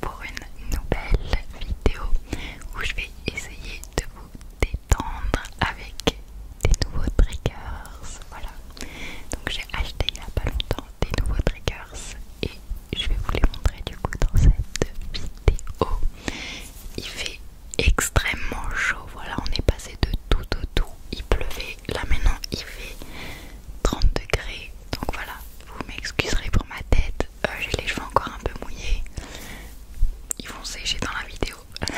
pour une nouvelle vidéo où je vais essayer de vous détendre avec des nouveaux triggers. Voilà. Donc j'ai acheté il n'y a pas longtemps des nouveaux triggers et je vais vous les montrer du coup dans cette vidéo. Il fait extrêmement chaud. Voilà, on est passé de tout au tout. Il pleuvait. Là maintenant il fait 30 degrés. Donc voilà, vous m'excuserez pour ma tête, euh, j'ai les cheveux encore un peu mouillés. Ils vont sécher dans la vidéo.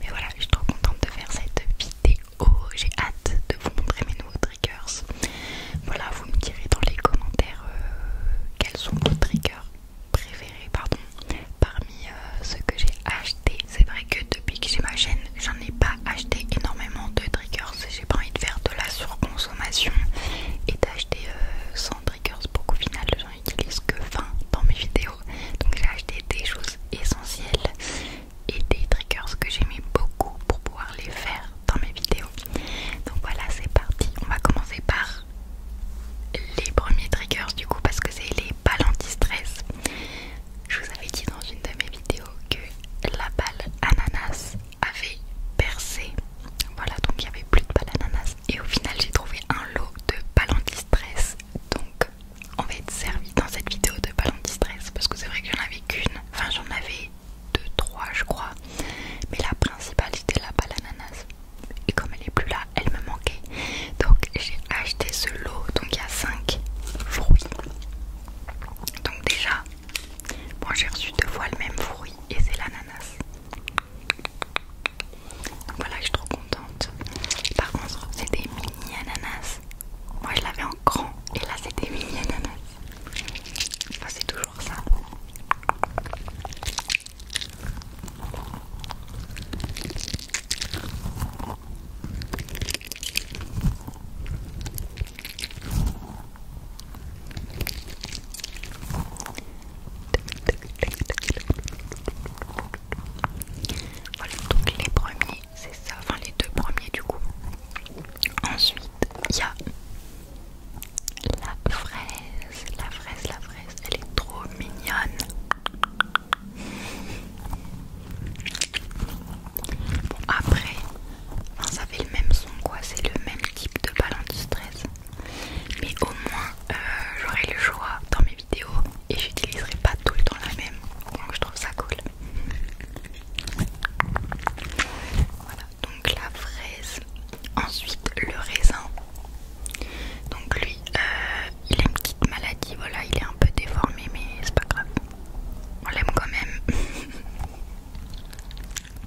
Mais voilà, je suis trop contente de faire cette vidéo. J'ai hâte de vous montrer mes nouveaux triggers. Voilà, vous me direz dans les commentaires euh, quels sont vos triggers préférés pardon, parmi euh, ceux que j'ai achetés. C'est vrai que depuis que j'ai ma chaîne, j'en ai pas acheté énormément de triggers j'ai pas envie de faire de la surconsommation et d'acheter 100 euh, triggers pour qu'au final j'en utilise que 20 dans mes vidéos. Donc j'ai acheté des choses essentielles et des triggers que j'aimais beaucoup pour pouvoir les faire dans mes vidéos. Donc voilà, c'est parti. On va commencer par les premiers triggers du coup parce que c'est les balles anti-stress. Je vous avais dit dans une de mes vidéos que la balle ananas avait percé. Voilà, donc il n'y avait plus de balles Et au final, j'ai trouvé un lot de balan distress Donc, on va être servi dans cette vidéo de balan distress parce que c'est vrai que j'en avais qu'une. Enfin, j'en avais deux, trois, je crois. Mais la principale, c'était la balle Et comme elle est plus là, elle me manquait. Donc, j'ai acheté ce lot. Donc, il y a 5 fruits. Donc, déjà, moi j'ai reçu deux fois le même fruit et c'est l'ananas. Voilà, je suis trop contente. Par contre, c'était des mini ananas. Moi je l'avais en grand et là c'était mini ananas. c'est toujours ça. Voilà, donc les premiers, c'est ça, enfin les deux premiers du coup. Ensuite, il y a la fraise, la fraise, la fraise, elle est trop mignonne. Bon, après, ça fait le même son quoi, c'est le même type de balle de stress Mais au moins, euh, j'aurai le choix dans mes vidéos et j'utiliserai pas tout le temps la même. Donc je trouve ça cool. Voilà, donc la fraise. Ensuite, le raisin. Donc lui, euh, il a une petite maladie, voilà, il est un peu déformé mais c'est pas grave. On l'aime quand même. Donc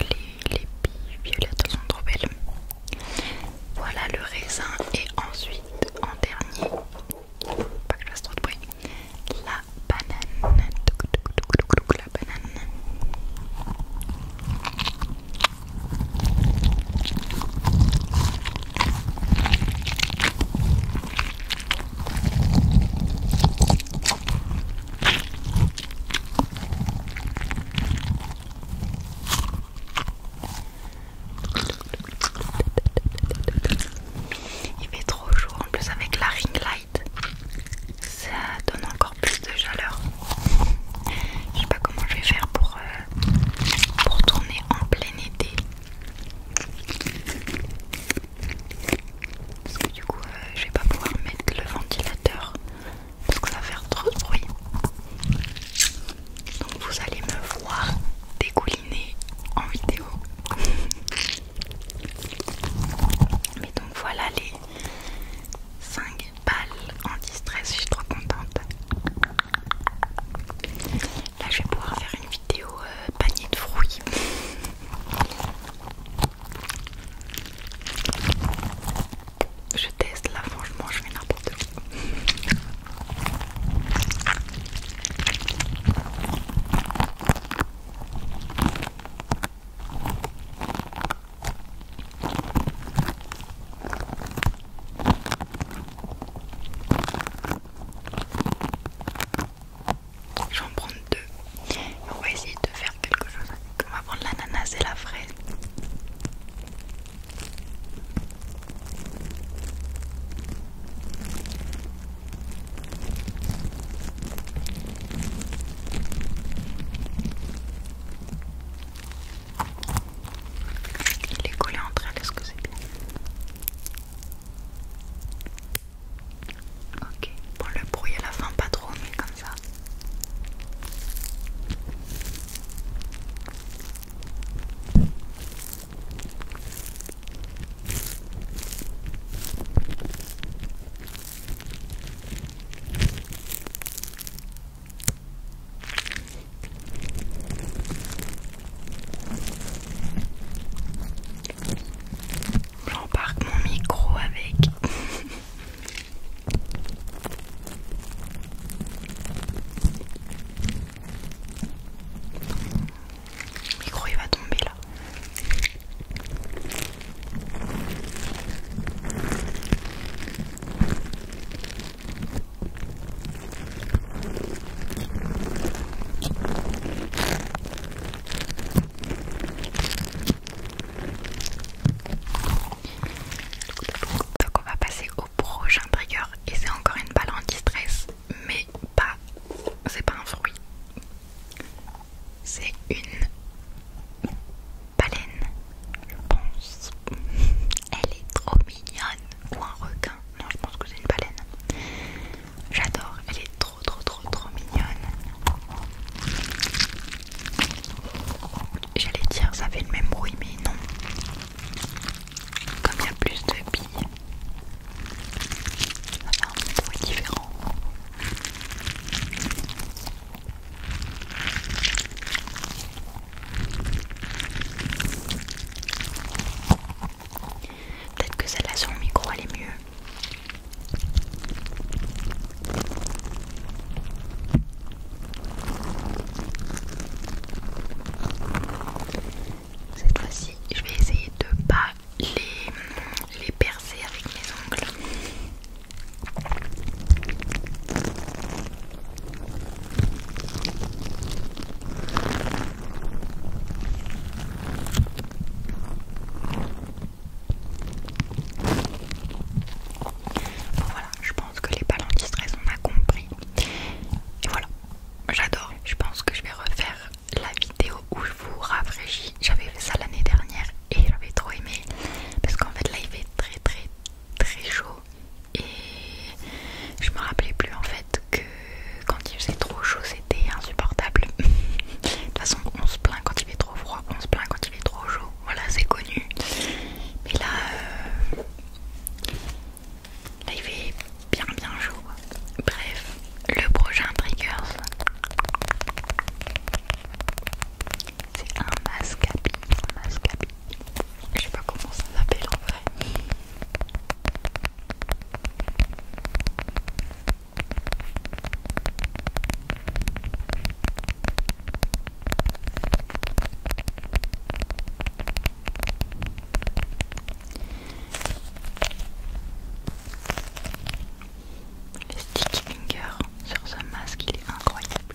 les, les billes violettes sont trop belles. Voilà le raisin et ensuite en dernier, pas que je fasse trop de bruit, la banane. La banane. Il fait trop chaud en plus avec la ring light, ça donne encore plus de chaleur. Je sais pas comment je vais faire pour, euh, tourner en plein été. Parce que du coup, euh, je vais pas pouvoir mettre le ventilateur parce que ça va faire trop de bruit. Donc vous allez me voir dégouliner en vidéo. Mais donc voilà les 5 Bâle en distress, je suis trop contente. Là je vais pouvoir faire une vidéo euh, panier de fruits. Je teste là, franchement je fais n'importe quoi. Je vais en prendre deux. on va essayer de faire quelque chose avec. On va prendre l'ananas et la fraise. Il est collé entre elles, est-ce que c'est bien Ok, bon le brouiller à la fin pas trop mais comme ça. J'embarque mon micro avec. Le micro il va tomber là. Donc on va passer au prochain trigger et c'est encore une balle en stress mais pas c'est pas un fruit c'est une baleine, je pense. Elle est trop mignonne. Ou un requin. Non, je pense que c'est une baleine. J'adore. Elle est trop, trop, trop, trop mignonne. J'allais dire, ça fait le même bruit, mais non. Comme il y a plus de billes, ça un bruit différent. Peut-être que celle-là sur micro elle mieux. Cette fois-ci, je vais essayer de pas les, les percer avec mes ongles. Bon voilà, je pense que les palantires on a compris. Et voilà, j'adore. Je pense que je vais refaire la vidéo où je vous rafraîchis. J'avais fait ça l'année dernière et j'avais trop aimé parce qu'en fait là il fait très très très chaud et je me rappelais plus en fait que quand il faisait trop chaud c'était insupportable. de toute façon on se plaint quand il fait trop froid, on se plaint quand il fait trop chaud, voilà c'est connu. Mais là, euh, il fait bien bien chaud. Bref, le prochain Triggers c'est un masque à billes, un masque à billes. Je sais pas comment ça s'appelle en vrai. Les sticky finger sur ce masque, il est incroyable.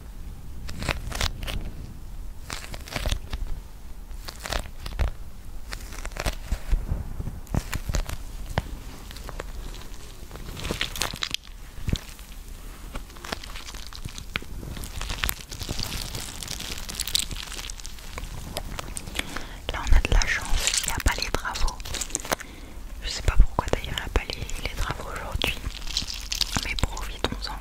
Là on a de la chance, il n'y a pas les travaux. Je sais pas pourquoi d'ailleurs il n'y a pas les, les travaux aujourd'hui. Mais profitons-en.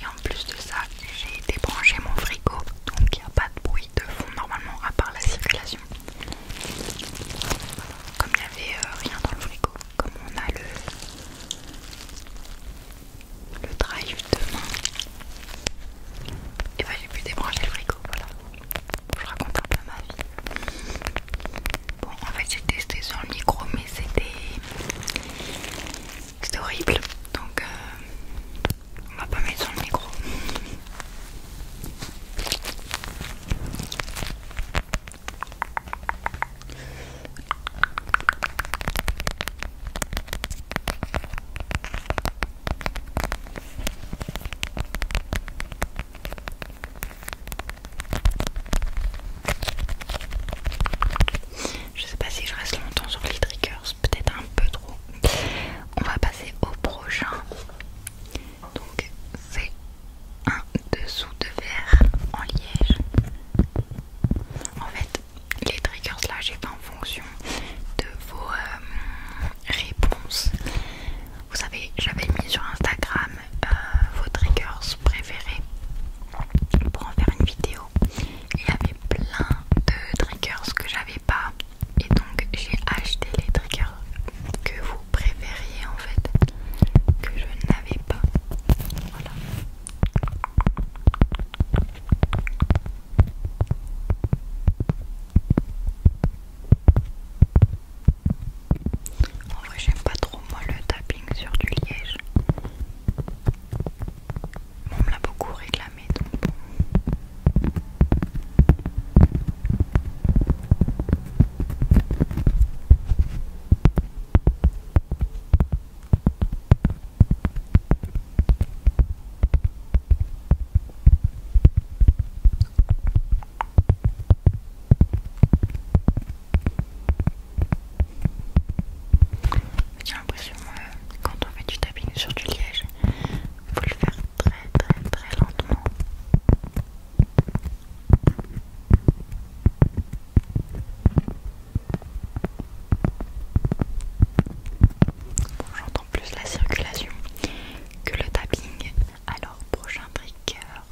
Et en plus de ça, j'ai débranché mon frigo, donc il n'y a pas de bruit de fond normalement à part la circulation. Comme il n'y avait euh, rien dans le frigo, comme on a le, le de demain, et bien j'ai pu débrancher le frigo, voilà je raconte un peu ma vie. Bon, en fait, j'ai testé sur le micro, mais c'était. C'était horrible. Donc, euh, on va pas mettre sur le micro. Je sais pas si je reste longtemps sur les triggers, peut-être un peu trop. On va passer au prochain. Donc c'est un dessous de verre en liège. En fait, les triggers là, j'ai fait en fonction de vos euh, réponses vous savez j'avais mis sur Instagram euh, vos triggers préférés pour en faire une vidéo il y avait plein de triggers que j'avais pas et donc j'ai acheté les triggers que vous préfériez en fait que je n'avais pas voilà en vrai, j'aime pas trop moi le tapping sur du liège. On me l'a beaucoup réclamé donc j'ai l'impression que euh, quand on fait du tapping sur du liège, il faut le faire très très très lentement. j'entends plus la circulation que le tapping alors, prochain trickers,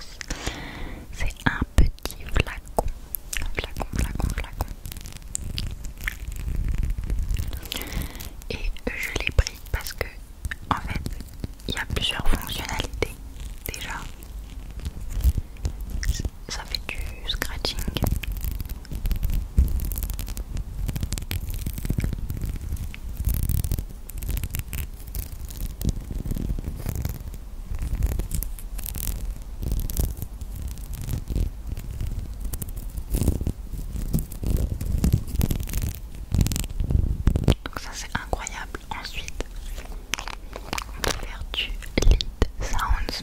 c'est un petit flacon. Flacon, flacon, flacon. Et je l'ai pris parce que, en fait, il y a plusieurs fonctionnalités déjà. Ça fait du scratching ça c'est incroyable. Ensuite, on va faire du lead sounds.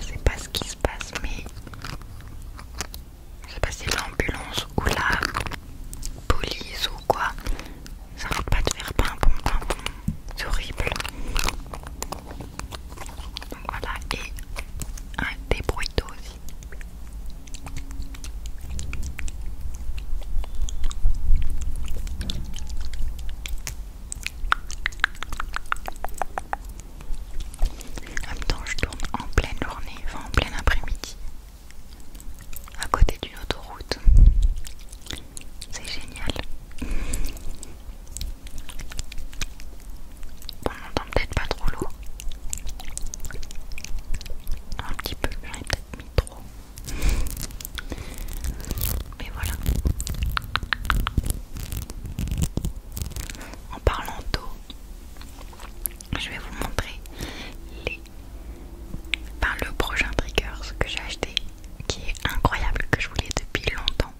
Je sais pas ce qui se passe, mais je sais pas si l'ambulance ou la police ou quoi ça va pas de faire pimpon, pimpon. C'est horrible. Donc voilà, et un débrouilleau aussi. En même temps, je tourne en pleine journée, en plein après-midi, à côté d'une autoroute. C'est génial. On n'entend peut-être pas trop l'eau. Un petit peu, j'en ai peut-être mis trop. Mais voilà. En parlant d'eau, je vais vous montrer le prochain trigger, ce que j'ai acheté qui est incroyable, que je voulais depuis longtemps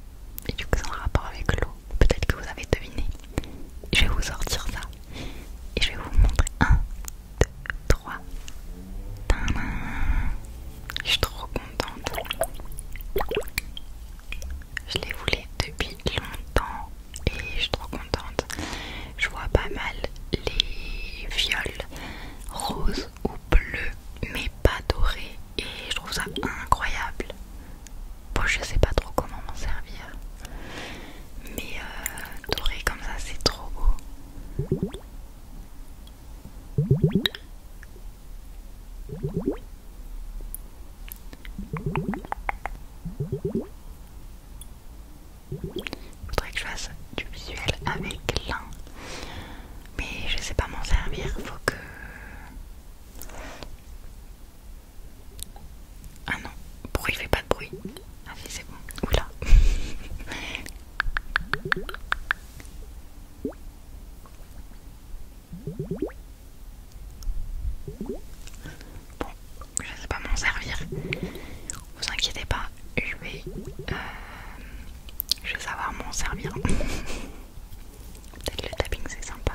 et du coup c'est en rapport avec l'eau, peut-être que vous avez deviné. Je vais vous sortir ça et je vais vous montrer. 1, 2, 3. je suis trop contente. Je les voulais depuis longtemps et je suis trop contente. Je vois pas mal les viols roses ou bleu, mais pas doré, et je trouve ça incroyable. Bon, je sais pas trop comment m'en servir, mais euh, doré comme ça, c'est trop beau faudrait que je fasse du visuel avec l'un. Mais je sais pas m'en servir, faut que... Ah non, bruit fait pas de bruit. Ah si c'est bon, oula. Bon, je sais pas m'en servir vous inquiétez pas, je vais, euh, je vais savoir m'en servir. Peut-être le tapping c'est sympa.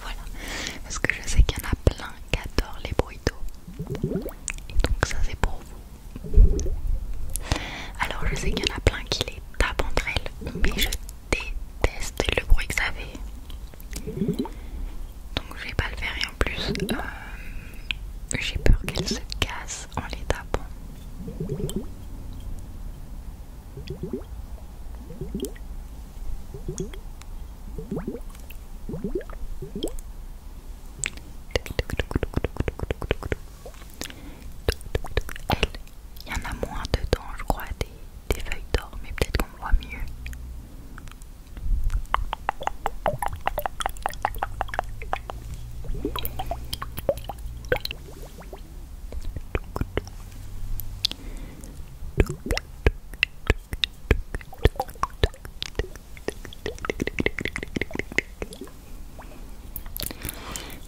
Voilà, parce que je sais qu'il y en a plein qui adorent les bruits d'eau. Et donc ça c'est pour vous. Alors je sais qu'il y en a plein qui les tapent entre elles, mais je déteste le bruit que ça fait. Donc je vais pas le faire et en plus euh, j'ai peur qu'elles se cassent en les tapant. Il y en a moins dedans, je crois, des, feuilles d'or, mais peut-être qu'on voit mieux.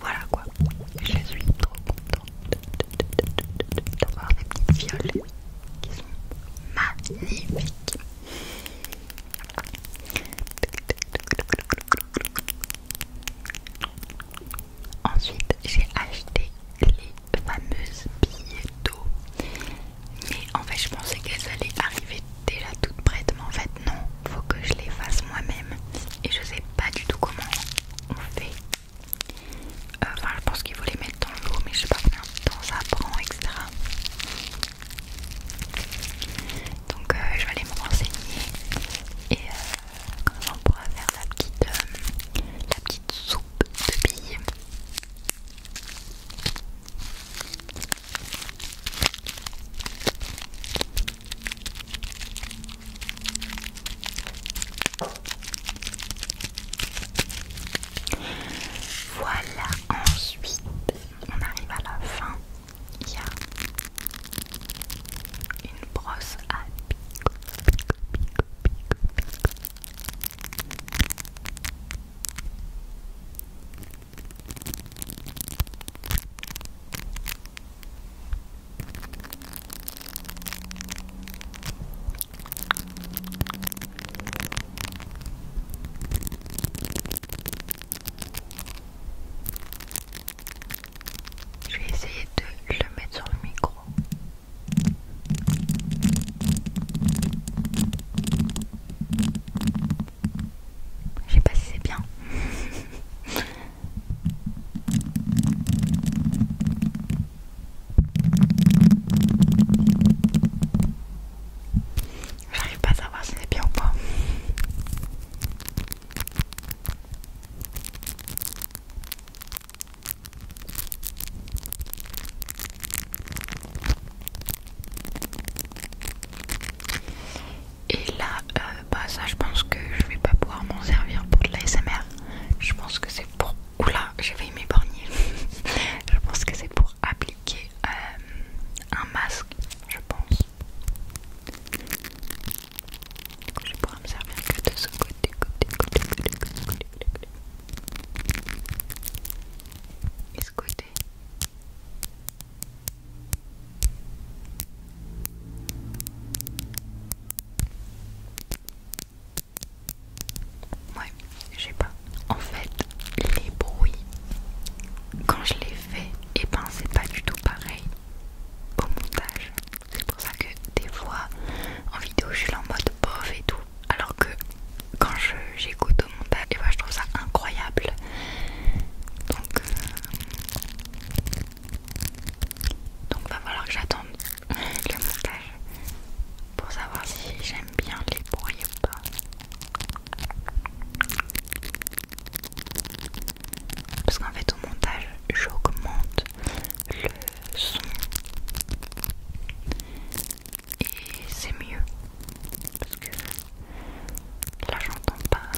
Voilà quoi, je suis trop contente d'avoir des petites violettes qui sont magnifiques. Ensuite, j'ai acheté les fameuses billets d'eau. Mais en fait, je pensais qu'elles allaient arriver déjà toutes prêtes, mais en fait, non, faut que je les fasse moi-même. Et je sais pas du tout comment on fait. Euh, enfin, je pense qu'il faut les mettre dans l'eau, mais je sais pas combien de temps ça prend, etc. Donc, euh, je vais aller me renseigner et euh, on pourra faire la petite, euh, petite soupe de billes. Voilà, ensuite on arrive à la fin. Il y a une brosse à billes je vais essayer de le mettre sur le micro. Je sais pas si c'est bien. J'arrive pas à savoir si c'est bien ou pas. Et là, euh, bah ça je pense que je vais pas pouvoir m'en servir pour de l'ASMR. Je pense que c'est pour... Oula, j'ai mes m'épargner. je pense que c'est pour appliquer euh, un masque, je pense je pourrais me servir que de ce côté, côté, côté, côté, Et ce côté. Ouais, je sais pas. En fait, les bruits, quand je les fais, et eh ben c'est pas du tout pareil au montage. C'est pour ça que des fois en vidéo je suis là en mode bof et tout. Alors que quand j'écoute au montage, eh ben, je trouve ça incroyable. Donc, euh, Donc va falloir que j'attende le montage pour savoir si j'aime bien les bruits ou pas. Parce qu'en fait au montage j'augmente le son et c'est mieux parce que là j'entends pas,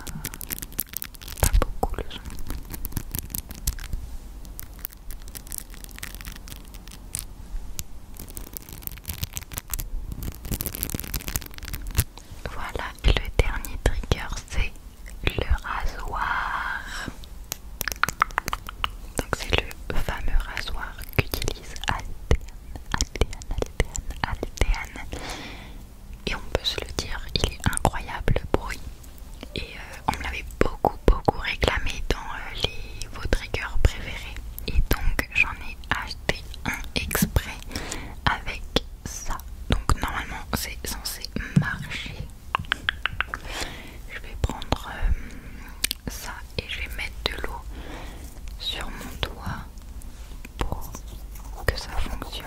pas beaucoup le son. Voilà, et le dernier trigger c'est le rasoir. Donc c'est le fameux rasoir qu'utilise Altean, Et on peut se le dire, il est incroyable le bruit. Et euh, on me l'avait beaucoup beaucoup réclamé dans euh, les, vos triggers préférés. Et donc j'en ai acheté un exprès avec ça. Donc normalement c'est censé marcher. Je vais prendre euh, ça et je vais mettre de l'eau sur mon doigt pour que ça fonctionne.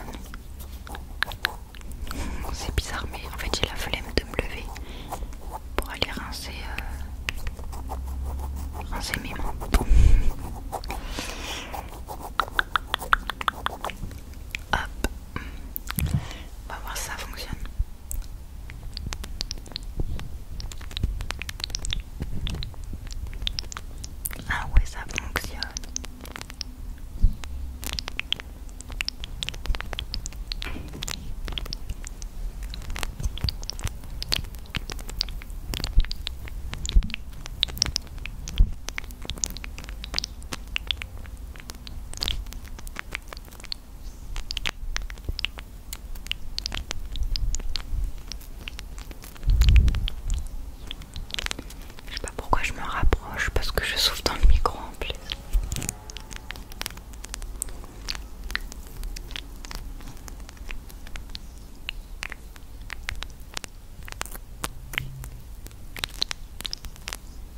C'est bizarre, mais en fait j'ai la flemme de me lever pour aller rincer, euh, rincer mes mains. Hop, on va voir si ça fonctionne. Ah oui, ça fonctionne. Je sais pas pourquoi je me rapproche parce que je souffle dans le micro en plus.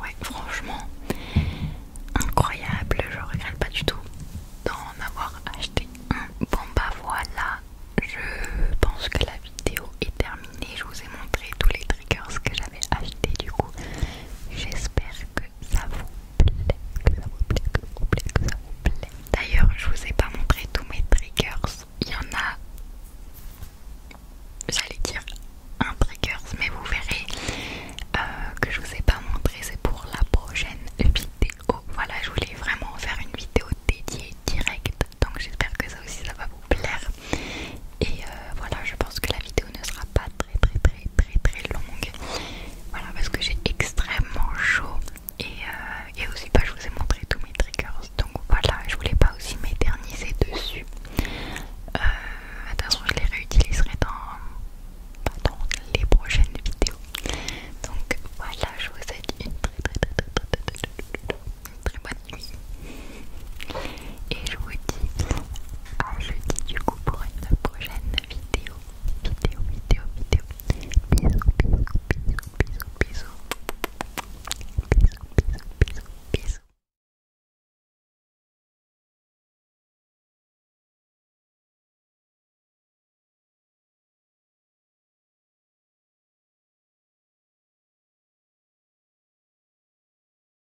Ouais, franchement, incroyable, je regrette pas du tout d'en avoir acheté un. Bon bah voilà, je pense que la vidéo est terminée. Je vous ai montré tous les que j'avais acheté du coup j'espère que ça vous plaît que ça vous plaît que ça vous plaît ça plaît d'ailleurs je vous ai pas montré tous mes triggers il y en a j'allais dire un triggers mais vous verrez euh, que je vous ai pas montré c'est pour la prochaine vidéo voilà je voulais vraiment faire une vidéo dédiée directe donc j'espère que ça aussi ça va vous plaire et euh, voilà je pense que la vidéo ne sera pas très très très très longue. Voilà parce que j'ai extrêmement chaud et, aussi pas je vous ai montré tous mes triggers donc voilà je voulais pas aussi m'éterniser dessus. d'ailleurs je les réutiliserai dans, les prochaines vidéos. Donc voilà je vous ai une très très, très, très, très, très bonne nuit. Et je vous dis à jeudi du coup pour une prochaine vidéo. Vidéo, vidéo, vidéo. Bisous, bisous, bisous, bisous, bisous. Bisous, bisous, bisous, bisous.